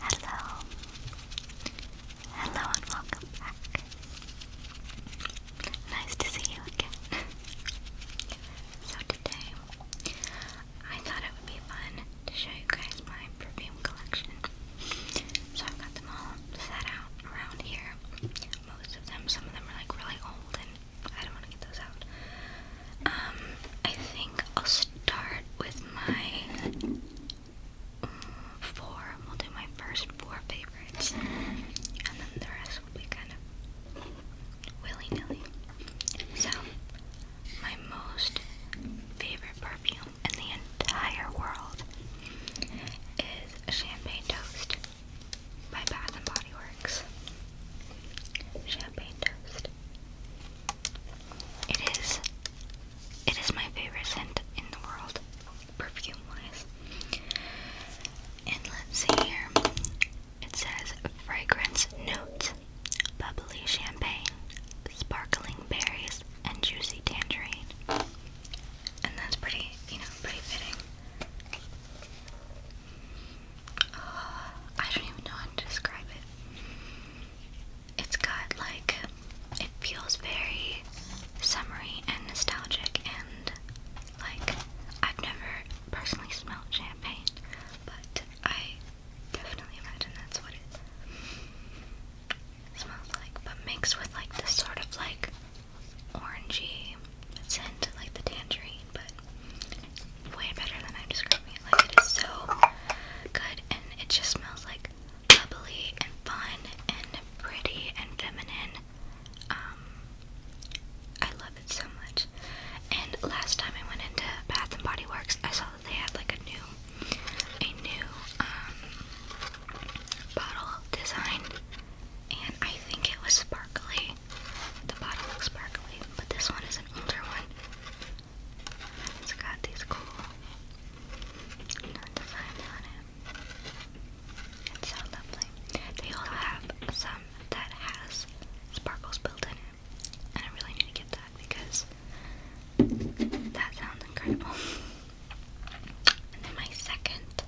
Hello. Hello and welcome back. Nice to see you again. so today, I thought it would be fun to show you guys my perfume collection. So I've got them all set out around here. Most of them, some of them are like really old and I don't want to get those out. Um, I think I'll start with my mm, four. We'll do my first four favorites, and then the rest will kind of willy nilly. So, my most favorite perfume in the entire world is Champagne Toast by Bath and Body Works. Champagne Toast. It is it is my favorite scent in the world, perfume wise. And let's see here. It says fragrance notes, bubbly champagne, sparkling berries, and juicy tangerine. And that's pretty, you know, pretty fitting. Ah, I don't even know how to describe it it's got like it feels very summery and nostalgic and like I've never personally smelled champagne, but I definitely imagine that's what it smells like. But mixed with like this sort of like orangey scent, like the tangerine, but way better than I am described. Like it is so good and it just smells like bubbly and fun and pretty and feminine. Um I love it so much. And last time I went into Bath and Body Works, I saw that they had like a new a new um bottle design and I think it was sparkly. The bottle looks sparkly, but this one is an older one. It's got these cool designs on it. It's so lovely. They also have some that has sparkles built in And I really need to get that because that sounds incredible. And then my second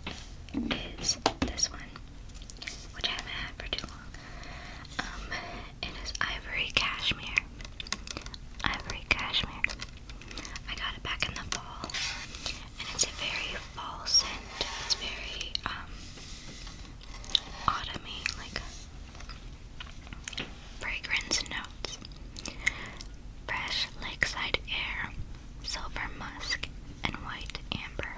is this one, which I haven't had for too long. Um, it is ivory cashmere. Ivory cashmere. I got it back in the fall, and it's a very fall scent. It's very um autumny, like fragrance notes. Fresh lakeside air, silver musk, and white amber.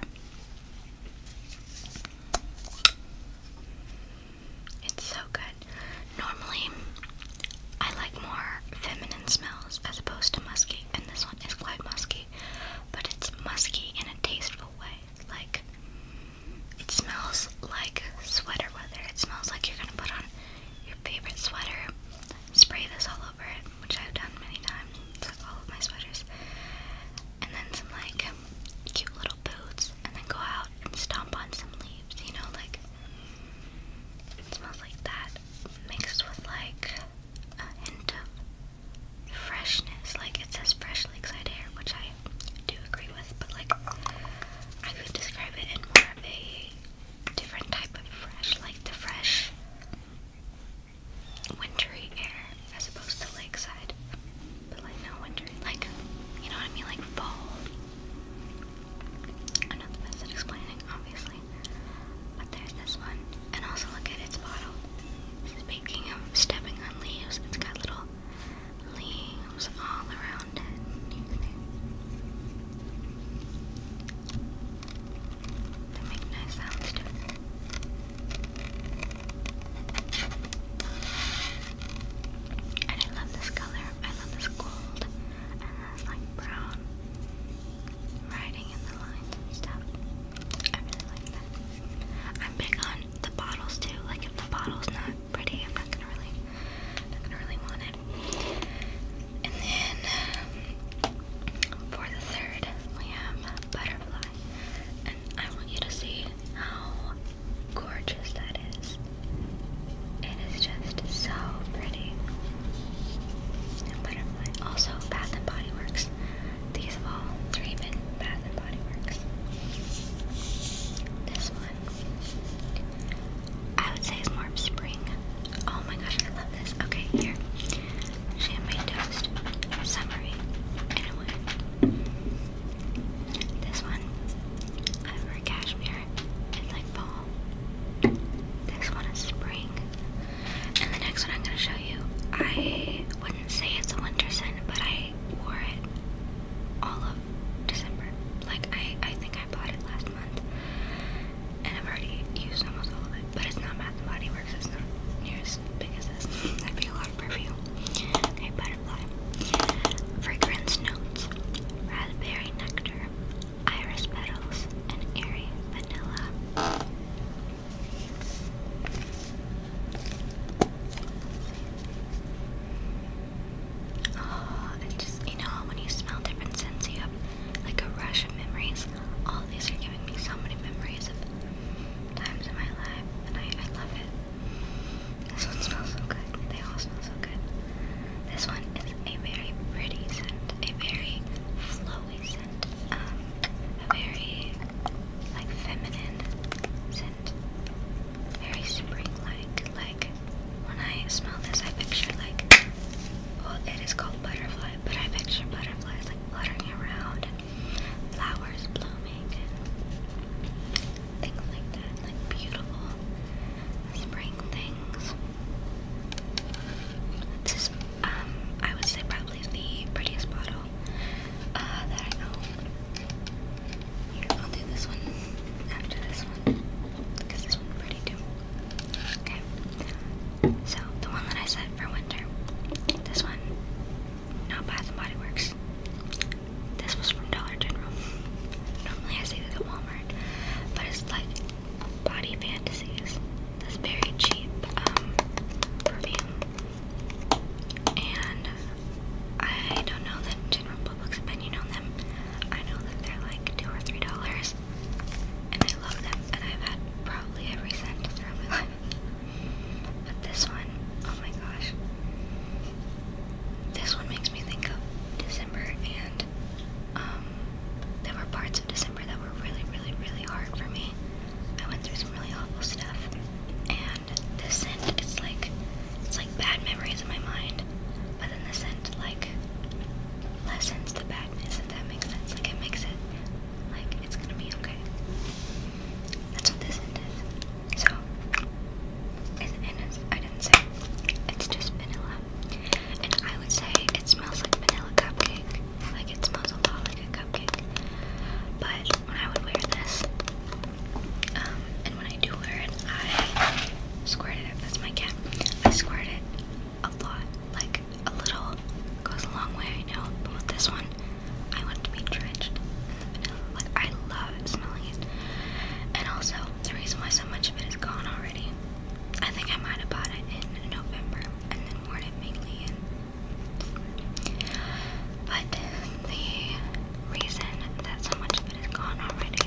It's so good. Normally, I like more feminine smells as opposed to musky, and this one is quite musky, but it's musky in a tasteful way. Like, it smells like sweater weather. It smells like you're gonna put on your favorite sweater, spray this all over it, which I've done many times, it's all of my sweaters, and then some like cute little boots and then go out and stomp on some leaves, you know, like it smells like that mixed with like a hint of freshness. Like it says fresh lakeside air, which I do agree with, but like I could describe it in more of a different type of fresh, like the fresh wintry air as opposed to lakeside. But like not winter. Like you know what I mean? Like fall. I'm not the best at explaining, obviously. But there's this one. And also look at its bottle. Speaking of stepping on leaves, it's got little leaves all around it. You can see. They make nice sounds too. And I love this color. I love this gold. And this like brown writing in the lines and stuff. I really like that. I'm big on the bottles too. Like if the bottle's not pretty, I'm not gonna really not gonna really want it. And then um, for the third we have butterfly. And I want you to see how gorgeous that is. It is just so pretty. And butterfly. Also, Bath and Body Works. These all three been Bath and Body Works. This one, I would say, is more spring. Oh my gosh, I love this. Okay, here. Champagne toast, summary, and a one. This one, I wear cashmere. It's like fall. This one is spring. And the next one I'm gonna show you, I wouldn't say it's a winter scent, but I wore it all of December. Like I, I think I bought it last month, and I've already used almost all of it. But it's not Bath and Body Works. It's not near as big as this perfume. Okay, butterfly. Fragrance notes: raspberry nectar, iris petals, and airy vanilla. Oh, it just you know when you smell different scents, you have like a rush of memories. All these are giving me so many memories times in my life, and I love it. This one smells so good. They all smell so good. This one is a very pretty scent, a very flowy scent, um, a very like feminine scent, very spring-like. Like when I smell this, I picture like well, it is called butterfly, but I picture butterflies like fluttering around flowers blooming things like that, like beautiful spring things. This is, um, I would say probably the prettiest bottle uh, that I own. I'll do this one after this one, because this one's pretty too. Okay, so the one that I said for winter, this one not Bath and Body Works. This was from Dollar General. Normally I say this at Walmart, but it's like Body Fantasies. This very cheap um, perfume, and I don't know the general public's opinion on them. I know that they're like two or three dollars, and I love them, and I've had probably every cent throughout my life. But this one, oh my gosh, this one makes me think of December, and um, there were parts of December that were really, really, really hard for me. I went through some really awful stuff, and this scent is like it's like bad memories in my mind, but then the scent like lessens the badness. If that makes sense, like it makes it like it's gonna be okay. That's what this scent is. So, it's, it's, I didn't say it's just vanilla. And I would say it smells like vanilla cupcake. Like it smells a lot like a cupcake. But when I would wear this, um, and when I do wear it, I squirt it. That's my cat. I squirt it a lot. Like a little goes a long way, I know. But with this one, I want to be drenched in vanilla. Like, I love smelling it. And also, the reason why so much of it is gone already, I think I might have bought it in November and then worn it mainly in But the reason that so much of it is gone already,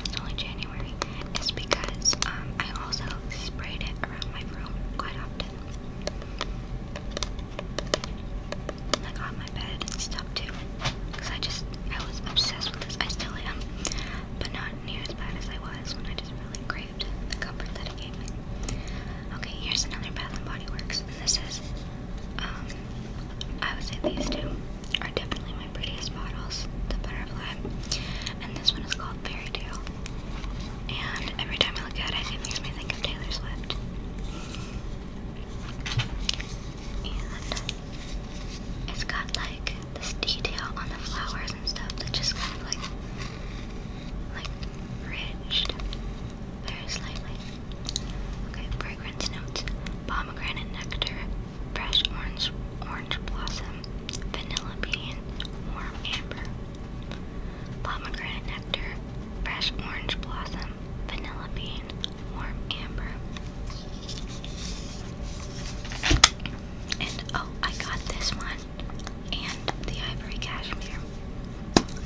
it's only January, is because um, I also sprayed it around my room quite often. I got my bed and stuff too. Because I just, I was obsessed with this. I still am. But not near as bad as I was when I just really craved the comfort that it gave me. Okay, here's another Bath and Body Works. And this is, um, I would say these two are definitely my prettiest bottles. The Butterfly. And this one is called Fairy Tale. And every time I look at it, it makes me think of Taylor Swift. And it's got like this detail on the flowers and stuff that just kind of like like ridged very slightly. Okay, fragrance notes. Pomegranate nectar, fresh orange orange blossom, vanilla bean, warm amber. Pomegranate nectar, fresh orange blossom, vanilla bean, warm amber. And oh, I got this one and the ivory cashmere.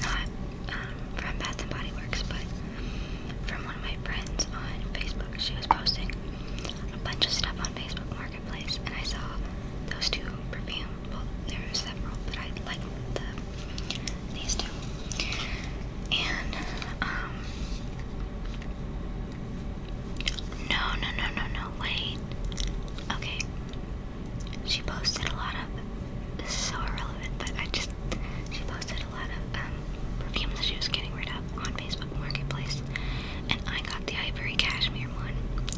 Not um, from Bath and Body Works, but from one of my friends on Facebook. She was posting a bunch of stuff on Facebook Marketplace, and I saw those two perfumes. Well, several, but I like the, these two. And, um, no, no, no, no, no, wait. Okay. She posted a lot of, this is so irrelevant, but I just, she posted a lot of, um, perfumes that she was getting rid of on Facebook Marketplace. And I got the Ivory Cashmere one,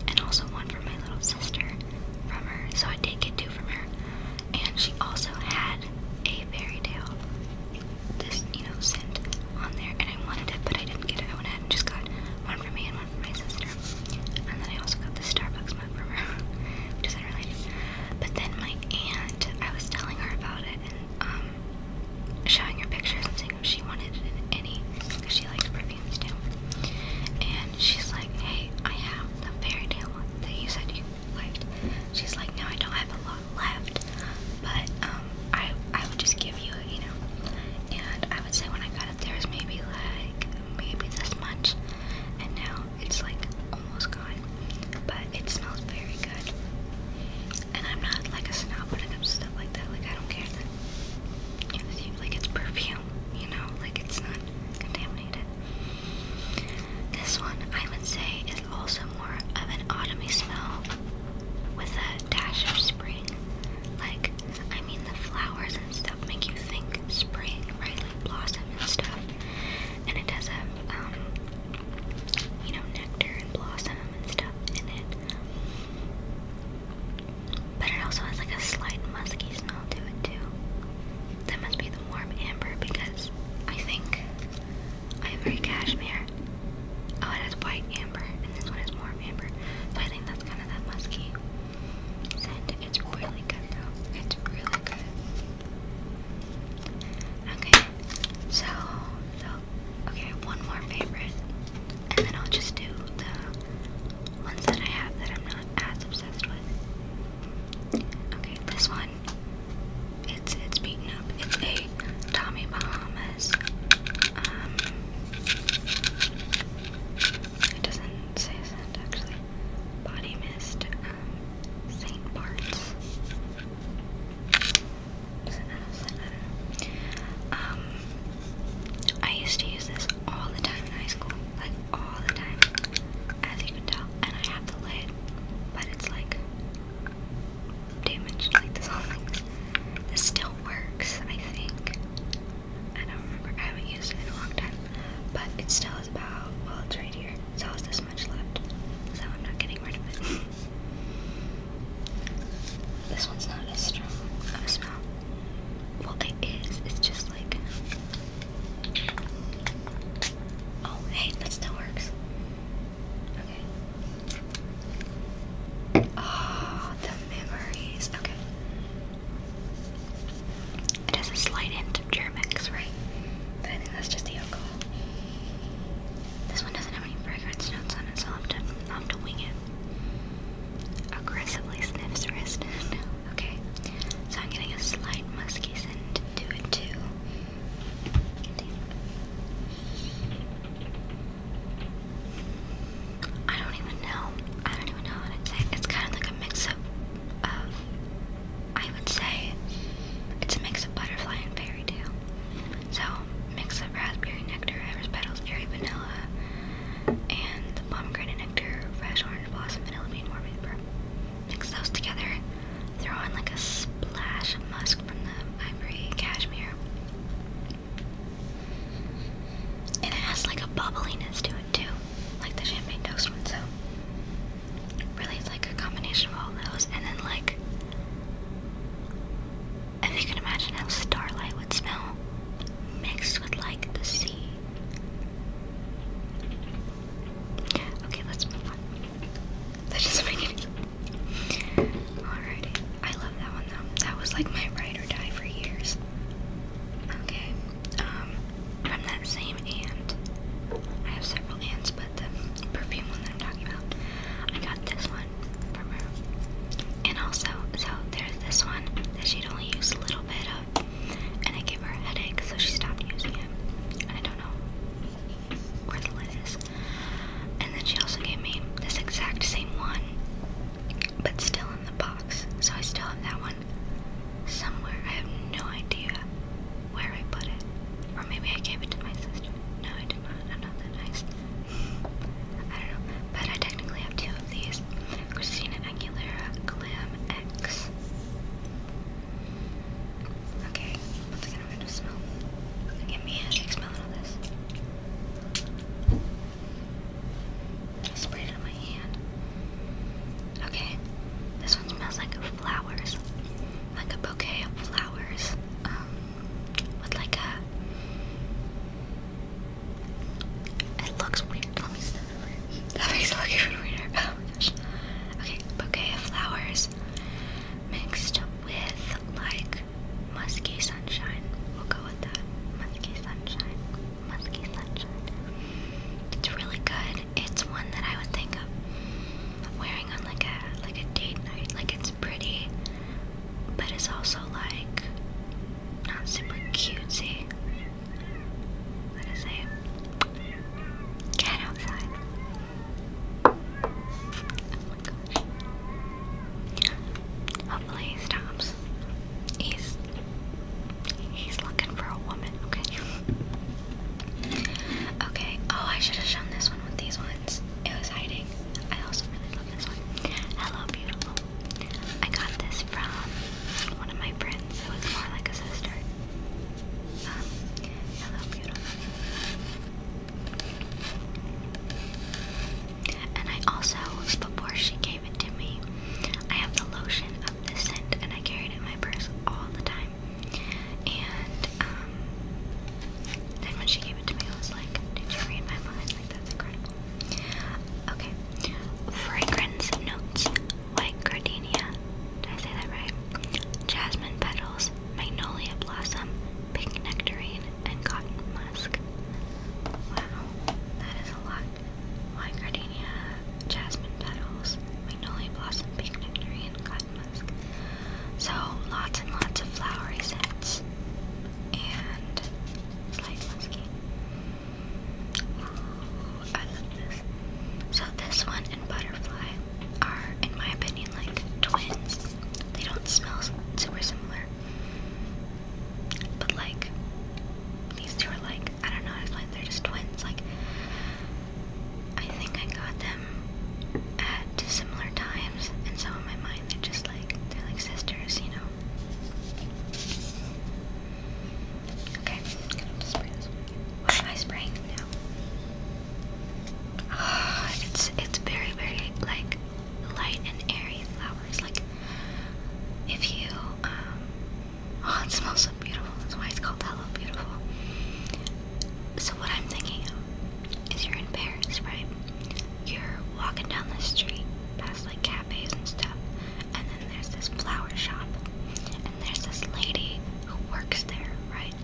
and also one for my little sister from her, so I did get two from her and she also had a fairy tale, this you know scent on there, and I wanted it, but I didn't get it. I went ahead and just got one for me and one for my sister, and then I also got the Starbucks mug for her, which isn't related. But then my aunt, I was telling her about it and um, showing her pictures and seeing she wanted it in any, because she likes perfumes too. And she's like, "Hey, I have the fairy tale one that you said you left. She's like, no, I don't have a lot left, but um, I I would just give you, you know. And I would say when I got it, there was maybe like maybe this much, and now it's like almost gone. But it smells very good. And I'm not like a snob when it comes to stuff like that. Like I don't care that it was, like it's perfume, you know, like it's not contaminated. This one, I would say, is also more of an autumny smell with a dash of spring. Like, I mean, the flowers and stuff make you think spring, right? Like blossom and stuff. And it does have, um, you know, nectar and blossom and stuff in it. But it also has like a slight musky smell to it, too. That must be the the warm amber because I think I am very cashmere. Oh, it has white amber, and this one is warm amber. So I think that's kind of that musky scent. It's really good though. It's really good. Okay, so so okay, one more favorite, and then I'll just do the ones that I have that I'm not not as obsessed with. Okay, this one. It's it's beaten up. It's a Tommy Bahamas. Um it doesn't say scent actually. Body mist, um, Saint Bart's. I Um I used to use this all the time in high school. Like all the time. As you can tell, and I have the lid, but it's like damaged. Like this whole thing. This still works, I think. I don't remember. I haven't used it in a long time, but it still is about. Well, it's right here. So it's this much left. So I'm not getting rid of it. this one's not as strong of a smell. Well, it is. It's just like Oh, hey, that still works. Okay. Oh, the memories. Okay. It has a slight hint of Germex, right? I think that's just the alcohol. This one doesn't have any fragrance notes on it, so I'll to, I'll to wing it. Aggressively sniffs wrist. Okay, so I'm getting a slight musky scent to it too. I don't even know. I don't even know what i say. It's kind of like a mix of, I would say, it's a mix of butterfly and fairy tale. So, mix of raspberry nectar, iris petals, airy vanilla, and pomegranate nectar, fresh orange blossom, vanilla bean, more vapor. Mix those together. Throw in like a splash of musk from the ivory cashmere. And it has like a bubbliness to it too, like the champagne toast one. So really, it's like a combination of all those, and then like if you can imagine how starlight would smell, mixed with like the sea Okay, let's move on. That doesn't make any sense. Alrighty. I love that one though. That was like my ride or die for years. Okay. Um, from that same ant. I have several ants, but the perfume one that I'm talking about. I got this one from her. And also, so there's this one that she only use a little bit and it gave her a headache, so she stopped using it. And I don't know where the lid is. And then she also gave me this exact same one, but still in the box. So I still have that one somewhere. I have no idea where I put it. Or maybe I gave it to my sister. No, I did not. I'm not that nice. I don't know. But I technically have two of these. Christina Angulara Glam X. Okay, one I'm gonna smell. Give me a shake smelling this. sprayed it on my hand. Okay, this one smells like flowers. Like a bouquet of flowers. Um, with like a. It looks weird. Let me sniff. That makes it look even weirder. Oh my gosh. Okay, bouquet of flowers mixed with like musky sunshine. We'll go with that. Musky sunshine. Musky sunshine. It's really good. It's one that I would think of wearing on like a like a date night. Like it's pretty, but it's also like not super cutesy what is it? Cat outside. Oh my gosh. Hopefully he stops. He's he's looking for a woman, okay? Okay, oh I should have shown this one with these ones. It was hiding. I also really love this one. Hello beautiful. I got this from one of my friends who was more like a sister. Um, hello, beautiful. And I also, before she gave it to me, I have the lotion of this scent, and I carried it in my purse all the time. And um, then when she gave it to me, I was like, "Did you read my mind? Like that's incredible." Okay, fragrance notes white gardenia, did I say that right? Jasmine petals, magnolia blossom, pink nectarine, and cotton musk. Wow, that is a lot. White gardenia, jasmine petals, magnolia blossom, pink nectarine, cotton musk. So lots and lots of flowery scents and slight musky. I love this. So this one and butterfly are, in my opinion, like twins. They don't smell super similar. But like these two are like I don't know, how it's like they're just twins. Like I think I got them at similar times and so in my mind they're just like they're like sisters, you know. Okay, I'm gonna spray this one. Am I spraying now? Ah, it's it's very very like light and airy flowers. Like if you um, oh, it smells so beautiful. That's why it's called Hello Beautiful. So what I'm thinking of is you're in Paris, right? You're walking down the street past like cafes and stuff. And then there's this flower shop. And there's this lady who works there, right?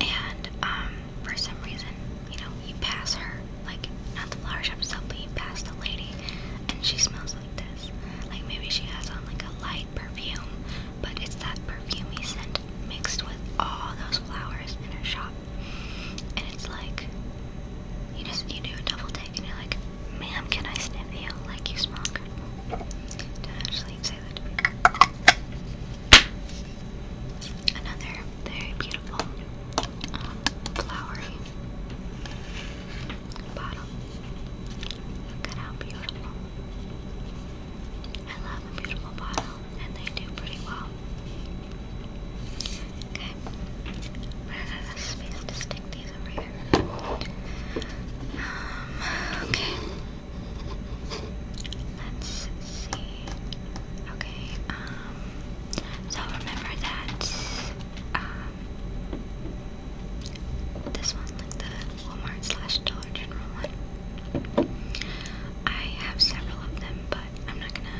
And um, for some reason, you know, you pass her, like not the flower shop itself, but you pass the lady, and she smells like this. Like maybe she has on like a light perfume, but it's that perfumey scent mixed with all those flowers in her shop. And it's like you just you do a double take and you're like, Ma'am, can I sniff you like you smoke? Don't Another very beautiful um, flowery bottle. Look at how beautiful. I love a beautiful bottle, and they do pretty well. Okay, I have space to stick these over um, okay. Let's see. Okay, um, so remember that, um, this one, like the Walmart slash Dollar General one. I have several of them, but I'm not gonna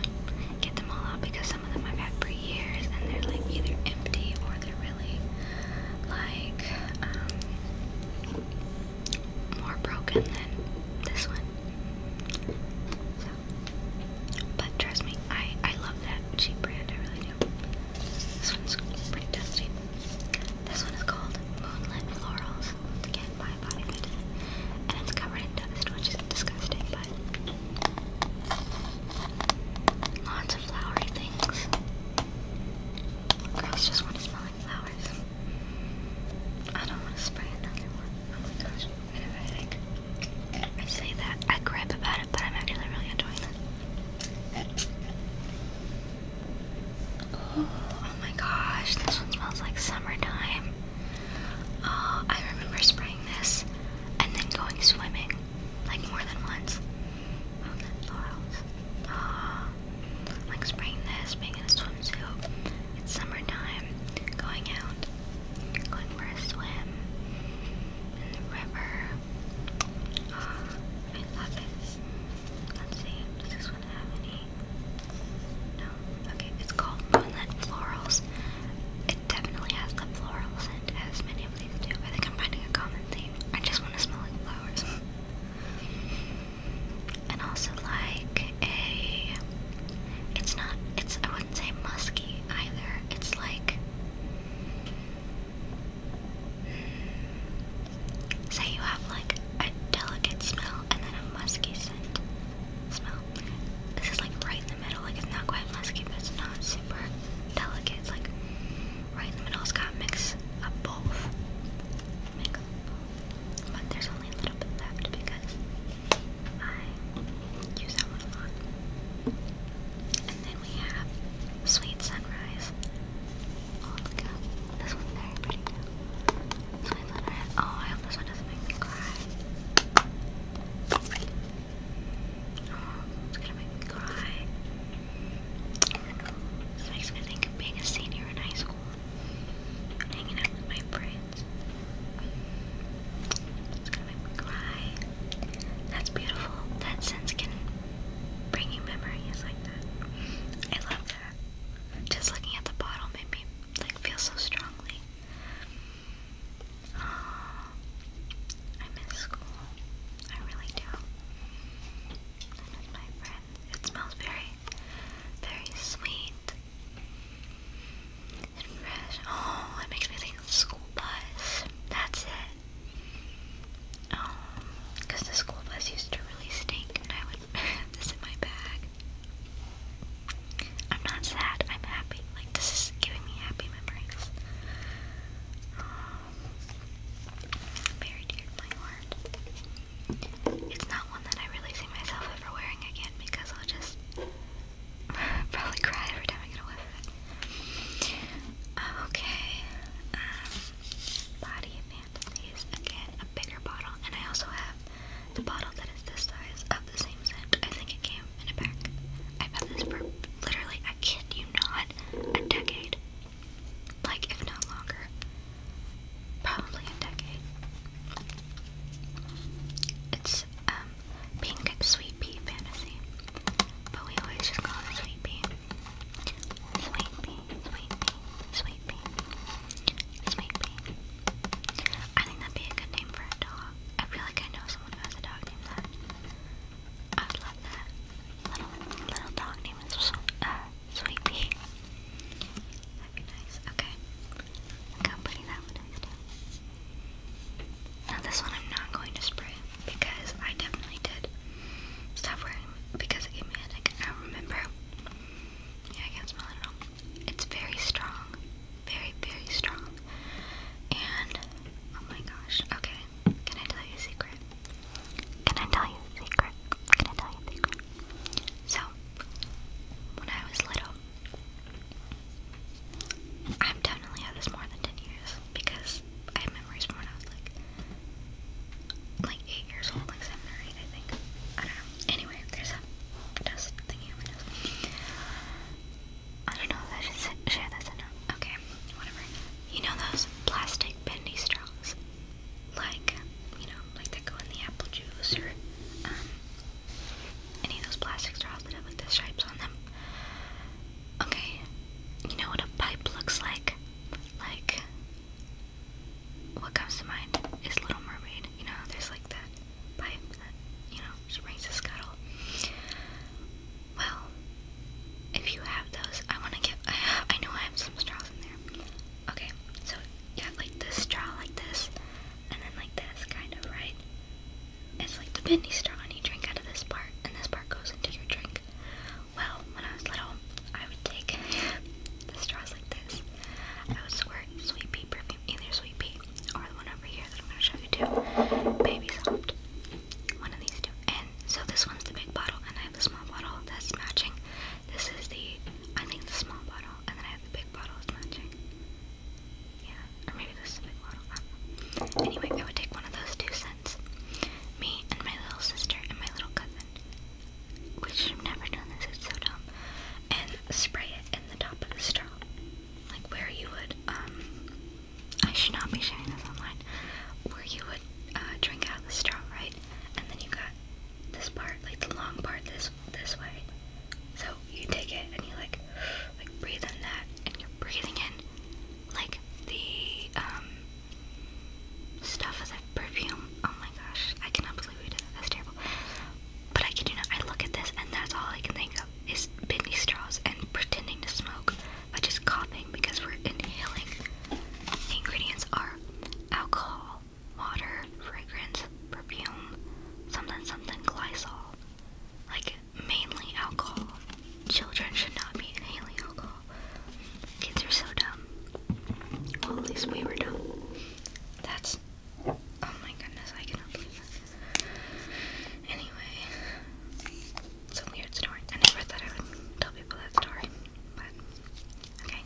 get them all out because some of them I've had pre years and they're like either empty or they're really like um, more broken than this one. but trust me, I I love that cheap brand. I really do. This one's pretty dusty. This one is called Moonlit Florals. Again, by Body Fit, and it's covered in dust, which is disgusting, but. Lots of flowery things. Girls just want to flowers. I don't want to spray another one. Oh my gosh, I say that, I gripe about it, but I'm actually really enjoying it. oh my gosh, this one smells like summertime. Oh, I remember spraying this and then going swimming. Like more than once. Oh, the laurels. Ah, like spraying this, being in a swimsuit. It's summertime. Going out. Going for a swim. In the river. Ah, I love it. Let's see, does this one have any? No. Okay, it's called Moonlit Florals. It definitely has the floral scent as many I think I'm finding a common theme. I just want to smell like flowers. And also like a it's not it's I wouldn't say musky either. It's like hmm, say you have like a delicate smell and then a musky scent smell. This is like right like it's not quite musky, but it's not super delicate. like right in the middle. It's got mix of both. But there's only a little bit left because I use that one a lot. And then we have Sweet Sunrise. Oh, Sweet Sunrise. Oh, I hope this one doesn't make me cry it's gonna make me cry. This makes me think of being a senior in high school hanging out with my friends. It's gonna make me cry. That's beautiful. That sense can bring you memories like that. I love that. Just looking at the bottle made me like feel so strongly. I miss school. I really do. And my friends. It smells very, very sweet and fresh. Oh, it makes me think of school bus. That's it. Oh, the school bus used to really stink, and I would have this in my bag. I'm not sad. I'm happy. Like this is giving me happy memories. Um, very dear my heart. It's not one that I really see myself ever wearing again because I'll just probably cry every time I get a whiff of it. Uh, okay, um, Body Fantasies, again, a bigger bottle, and I also have the bottle that is this size of the same scent. I think it came in a pack. I've had this for literally, I kid not, a decade. Like, if not longer. Probably a decade. It's, um, pink sweet pea fantasy. But we always just call it sweet pea. Sweet pea, sweet pea, sweet pea, sweet pea. I think that'd be a good name for a dog. I feel like I know someone who has a dog named that. I love that. Little little dog name is uh, That'd be nice. Okay. Look that one Now this one I'm not going to spray because I definitely did stop wearing because it gave me headache. I remember. Yeah, I can't smell it It's very strong. Very, very strong. And oh my gosh. Okay, can I tell you a secret? Can I tell you a secret? Can I tell you a secret? So, when I was little, I've definitely had this more than 10 years because I have memories from when I was like like 8 years old, like 7 or 8, I think. I don't know. Anyway, there's a dust my nose. I don't know if I should share this or not. Okay, whatever. You know those plastic bendy straws? Like, you know, like that go in the apple juice or um, any of those plastic straws that have like the stripes on them. Okay, you know what a pipe looks like? Like, what comes to mind is Little Mermaid. You know, there's like that pipe that, you know, just rings a scuttle. Well, if you have those, I want to get. I have. I know I have some straws in there. Okay, so you have like this straw, like this, and then like this, kind of right. It's like the bendy straw, and you drink out of this part, and this part goes into your drink. Well, when I was little, I would take the straws like this. I would squirt sweet pea perfume, either sweet pea or the one over here that I'm gonna show you too, baby soft. One of these two. And so this one's the big bottle, and I have the small bottle that's matching. This is the, I think, the small bottle, and then I have the big bottle that's matching. Yeah, or maybe the big bottle. Anyway, I would take one of those two cents, Me and my little sister and my little cousin. We should have never done this, it's so dumb. And spray it in the top of the straw. Like where you would, um, I should not be sharing this online. Where you would uh, drink out of the straw, right? And then you got this part, like the long part, this this way. So you take it and you like, like breathe in that, and you're breathing in like the um, stuff as a perfume. Oh my gosh, I cannot believe we did that. That's terrible. But I kid you not, I look at this and that's all I can think of is bendy straws and pretending to smoke by just coughing because we're inhaling. ingredients are alcohol, water, fragrance, perfume, something something glycol. Like mainly alcohol. Children should not be inhaling alcohol. Kids are so dumb. Well, at least we were dumb. That's. Oh my goodness, I cannot believe this. Anyway, it's weird story. I never thought I would tell people that story, but okay.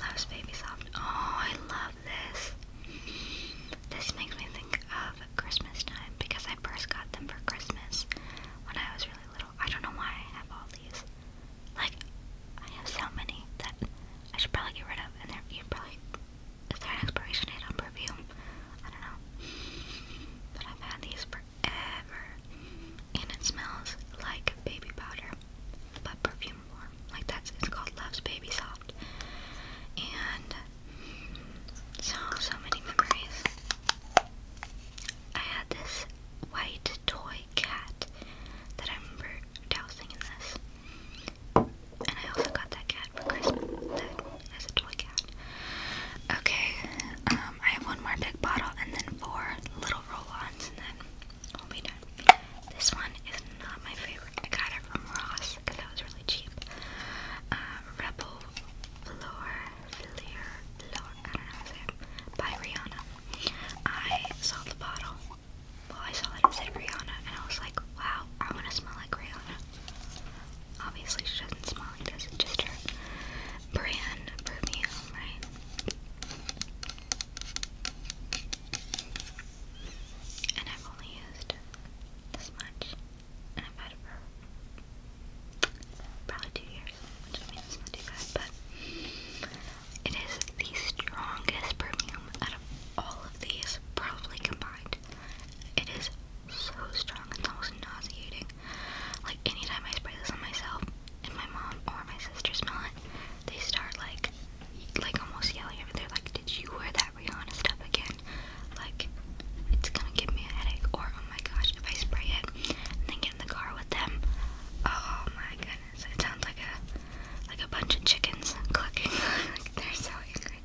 Love's Baby Soft. Oh, I love this. This makes me think of Christmas time because I first got them for Christmas when I was really little. I don't know why I have all these. Like, I have so many that I should probably get rid of, and they're, you probably is there an expiration date on perfume? I don't know. But I've had these forever. And it smells like baby powder. But perfume form. Like that's it's called Love's Baby Soft. And so many memories. I had this white toy cat that I remember dousing in this. And I also got that cat for Christmas. That is a toy cat. Okay, um, I have one more big bottle and then four little roll-ons and then we'll be done. This one is not my favorite. I got it from Ross because that was really cheap. Um, Rebel Velour, Velour, Velour, I don't know how to say by Rihanna. I saw the bottle. Well, I saw that it said Rihanna and I was like, wow, I want to smell like Rihanna. Obviously, she doesn't smell like this, it's just her brand perfume, right? And I've only used this much, and I've had it for probably two years, which I mean, not too but it is the strongest perfume out of all of these, probably combined. It is so strong, it's almost nauseating. Like anytime I spray this on myself and my mom or my sister smell it, they start like like almost yelling at me. They're like, Did you wear that Rihanna stuff again? Like it's gonna give me a headache or oh my gosh, if I spray it and then get in the car with them, oh my goodness. It sounds like a like a bunch of chickens clucking. like they're so angry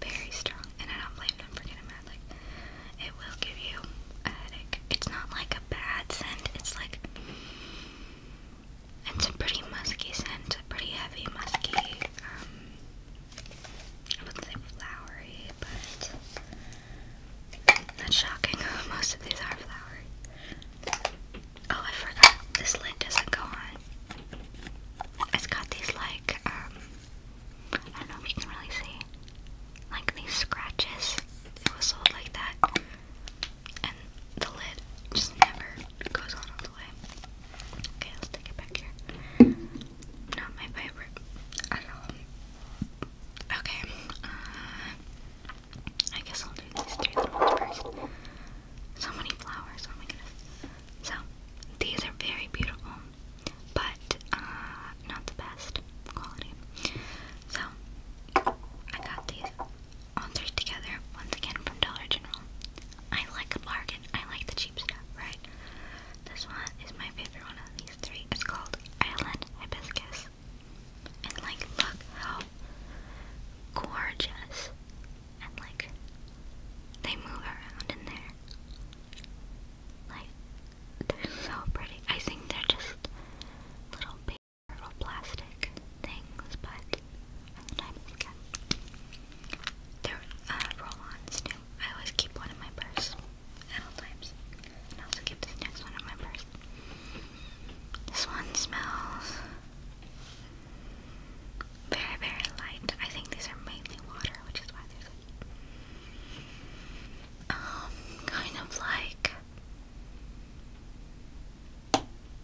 very strong, and I don't blame them for getting mad. Like, it will give you a headache. It's not like a bad scent. It's like it's a pretty musky scent, a pretty heavy musky. Um, I like flowery, but that's shocking. Most of these are flowery. Oh, I forgot. This lid doesn't go on. It's got these like um, I don't know if you can really see like these scratches. It was sold like that. And the lid just never goes all the way. Okay, let's take it back here. Not my favorite Okay, uh, I guess I'll do these three So many flowers, oh my goodness. So, these are very beautiful, but uh, not the best quality. So, I got these all three together once again from Dollar General. I like bargain, I like the cheap stuff, right? This one is my favorite one of these three. It's called Island Hibiscus. And, like, look how gorgeous and like they move around in there. Like they're so pretty. I think they're just little paper or plastic things, but for they uh, roll-ons too. I always keep one in my purse at all times. And also keep this next one in my purse. This one smells very, very light. I think these are mainly water, which is why there's a um, kind of like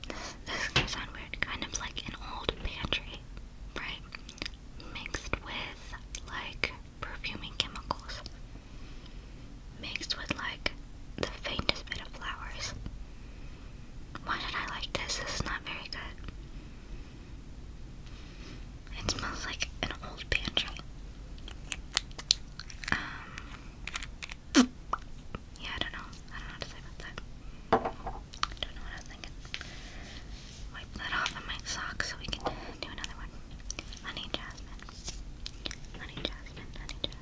this, this is gonna sound weird, kind of like an old pantry, right? Mixed with like perfuming chemicals. Mixed with like the faintest bit of flowers. Why did I like this? This is not very good. It smells like an old pantry. Um, yeah, I don't know. I don't know what to say that. don't know what I was thinking. Wipe that off on my socks so we can do another one. Honey Jasmine. Honey Jasmine. Honey Jasmine.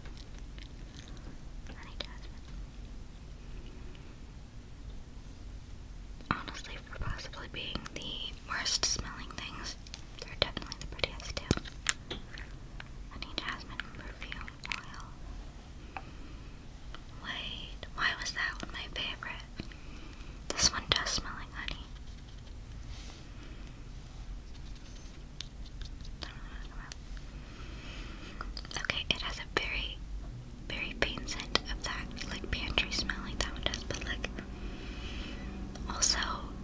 Honey Jasmine. Honestly, for possibly being the worst smelling things, they're definitely the prettiest too. Honey Jasmine Perfume Oil. Wait, why was that my favorite? This one does smell like honey. Okay, it has a very very faint scent of that like pantry smell like that one does, but like also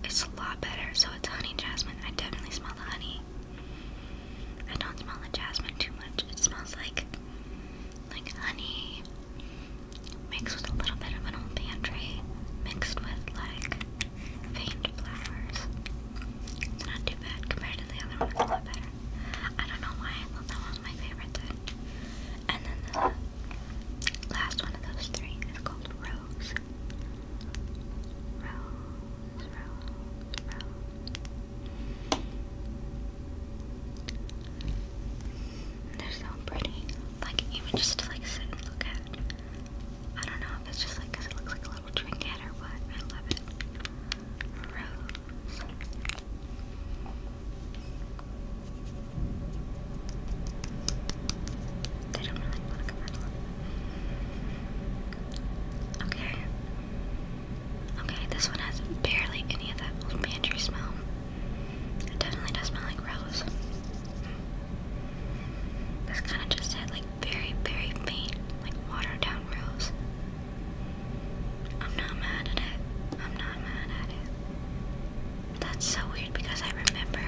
it's a lot better. So it's honey jasmine. I definitely smell the honey. I don't smell the jasmine too much. It smells like like honey mixed with a little bit of an old pantry, mixed with like faint flowers. It's not too bad compared to the other one. I don't know why I thought that was my favorite And then the last one of those three is called Rose. Rose, Rose, Rose. They're so pretty. Like even just to like sit and look at. I don't know if it's just like it looks like a little trinket or what. I love it. Okay. Okay, this one has barely any of that old pantry smell. It definitely does smell like rose. This kind of just had like very, very faint, like watered down rose. I'm not mad at it. I'm not mad at it. That's so weird because I remember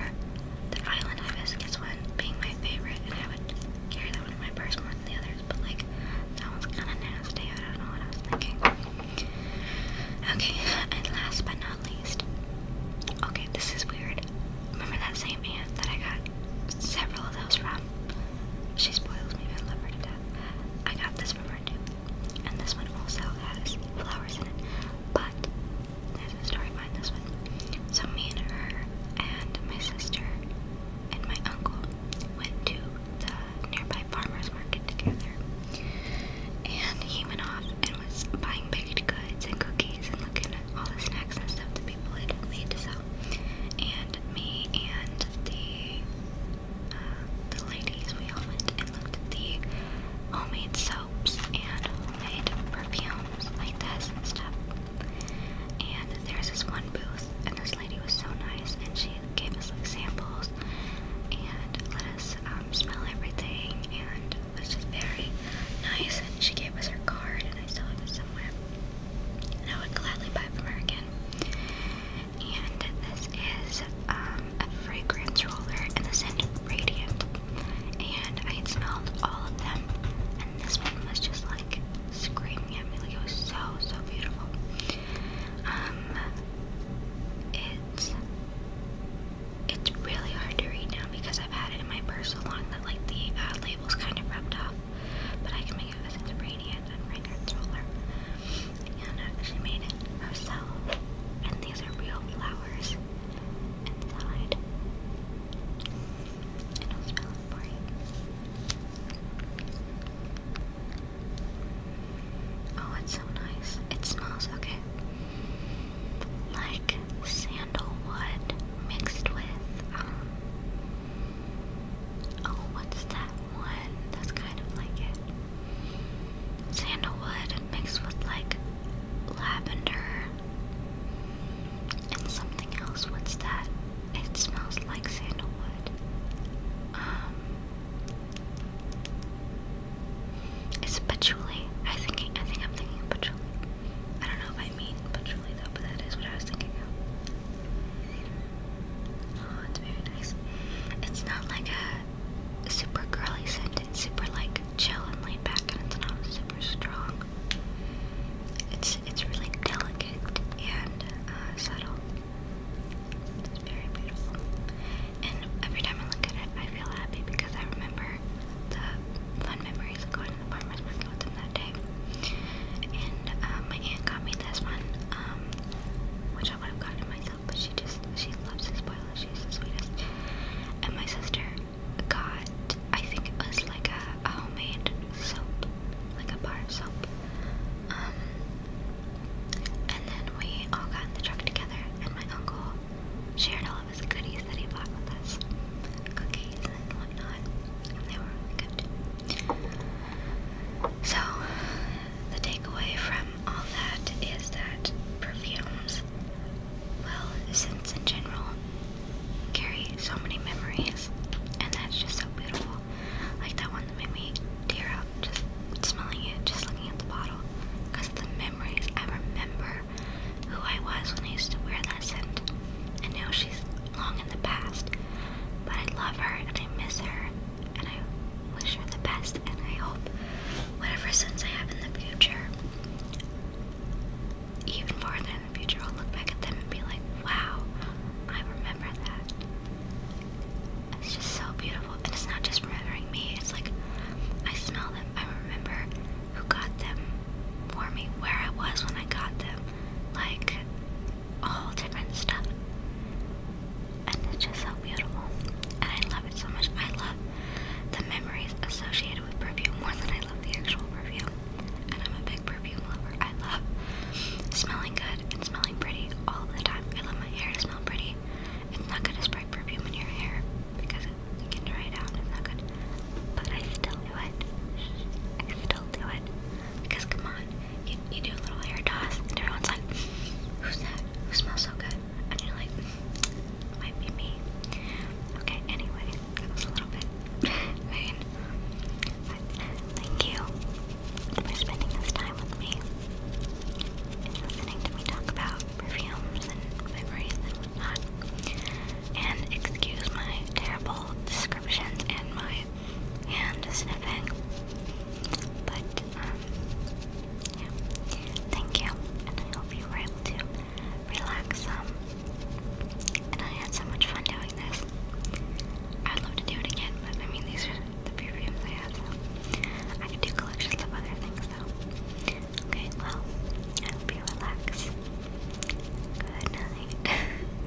the Island Hibiscus one being my favorite and I would carry that one in my purse more than the others, but like that one's kinda nasty. I don't know what I was thinking. Okay, and last but not least. Okay, this is weird. Remember that same hand that I got several of those from? She spoils me. I love her to death. I got this from her too. And this one also has flowers in it. But that's a story behind this one. So me and her and my sister and my uncle went to the nearby farmer's market together. And he went off and was buying baked goods and cookies and looking at all the snacks and stuff that people had made to sell. And and the uh, the ladies we all went and looked at the homemade soaps and homemade perfumes like this and stuff. And there's this one booth, and this lady was so nice, and she gave us like samples and let us um, smell everything, and it was just very nice. And she gave us her card, and I still have it somewhere and I would gladly buy from her again. And this is um, a fragrance roller and the scent Radiant. And I had smelled all of them, and this one was just like screaming at me. Like it was so, so beautiful. Um, it's it's really hard to read now because I've had it in my purse so long that like the uh, label's kind of rubbed off. But I can make it with its radiant and fragrant roller. And uh, she made it herself. And these are real flowers inside. And will smell for you. Oh, it's so nice. It smells okay. Like sandalwood mixed with um, Oh, what's that one? That's kind of like it. Sandalwood mixed with like lavender and something else. What's that? It smells like sandalwood. Um, it's patchouli. I think I think I'm thinking patchouli. I don't know if I mean patchouli though, but that is what I was thinking of. Oh, it's very nice. It's not like a super girly scent. It's super like chill and laid back, and it's not super strong. It's it's really delicate and uh, subtle. It's very beautiful. And every time I look at it, I feel happy because I remember the fun memories of going to the farmer's market with them that day. And uh, my aunt got me this one, um, which I would have gotten myself, but she just she loves to spoil it. She's the sweetest. And my sister got, I think it was like a, homemade soap, like a bar of soap. Um, and then we all got in the truck together, and my uncle shared all of his goodies that he bought with us, cookies and whatnot, and they were really good. So, the takeaway from all that is that perfumes, well, scents in general, carry so many memories, and that's just so beautiful. Like that one that made me tear up just smelling it, just looking at the bottle, because of the memories. I remember who I was when I used to wear that scent, and now she's long in the past. But I love her and I miss her and I wish her the best and I hope whatever sins I have in the future, even farther in the future, I'll look back at them and be like, wow, I remember that. It's just so beautiful. And it's not just remembering me, it's like I smell them. I remember who got them for me, where I was when I got them like all different stuff. And it's just so beautiful. And I love it so much. I love the memories associated with perfume more than I love the actual perfume. And I'm a big perfume lover. I love smelling good and smelling pretty all the time. I love my hair to smell pretty. It's not good to spray perfume in your hair because it, can dry it down. It's not good. But I still do it. I still do it. Because come on, you, you do a little hair toss, and everyone's like, who's that? Who smells so good? And you're like, might be me. Okay, anyway, that was a little bit mean. thank you for spending this time with me listening to me talk about perfumes and memories and whatnot. And excuse my terrible descriptions and my and hand sniffing. But, um, yeah. Thank you, and I hope you were able to relax Um, And I had so much fun doing this. I'd love to do it again, but I mean, these are the few perfumes I have, so I could do collections of other things, though. Okay, well, I hope you relax. Good night.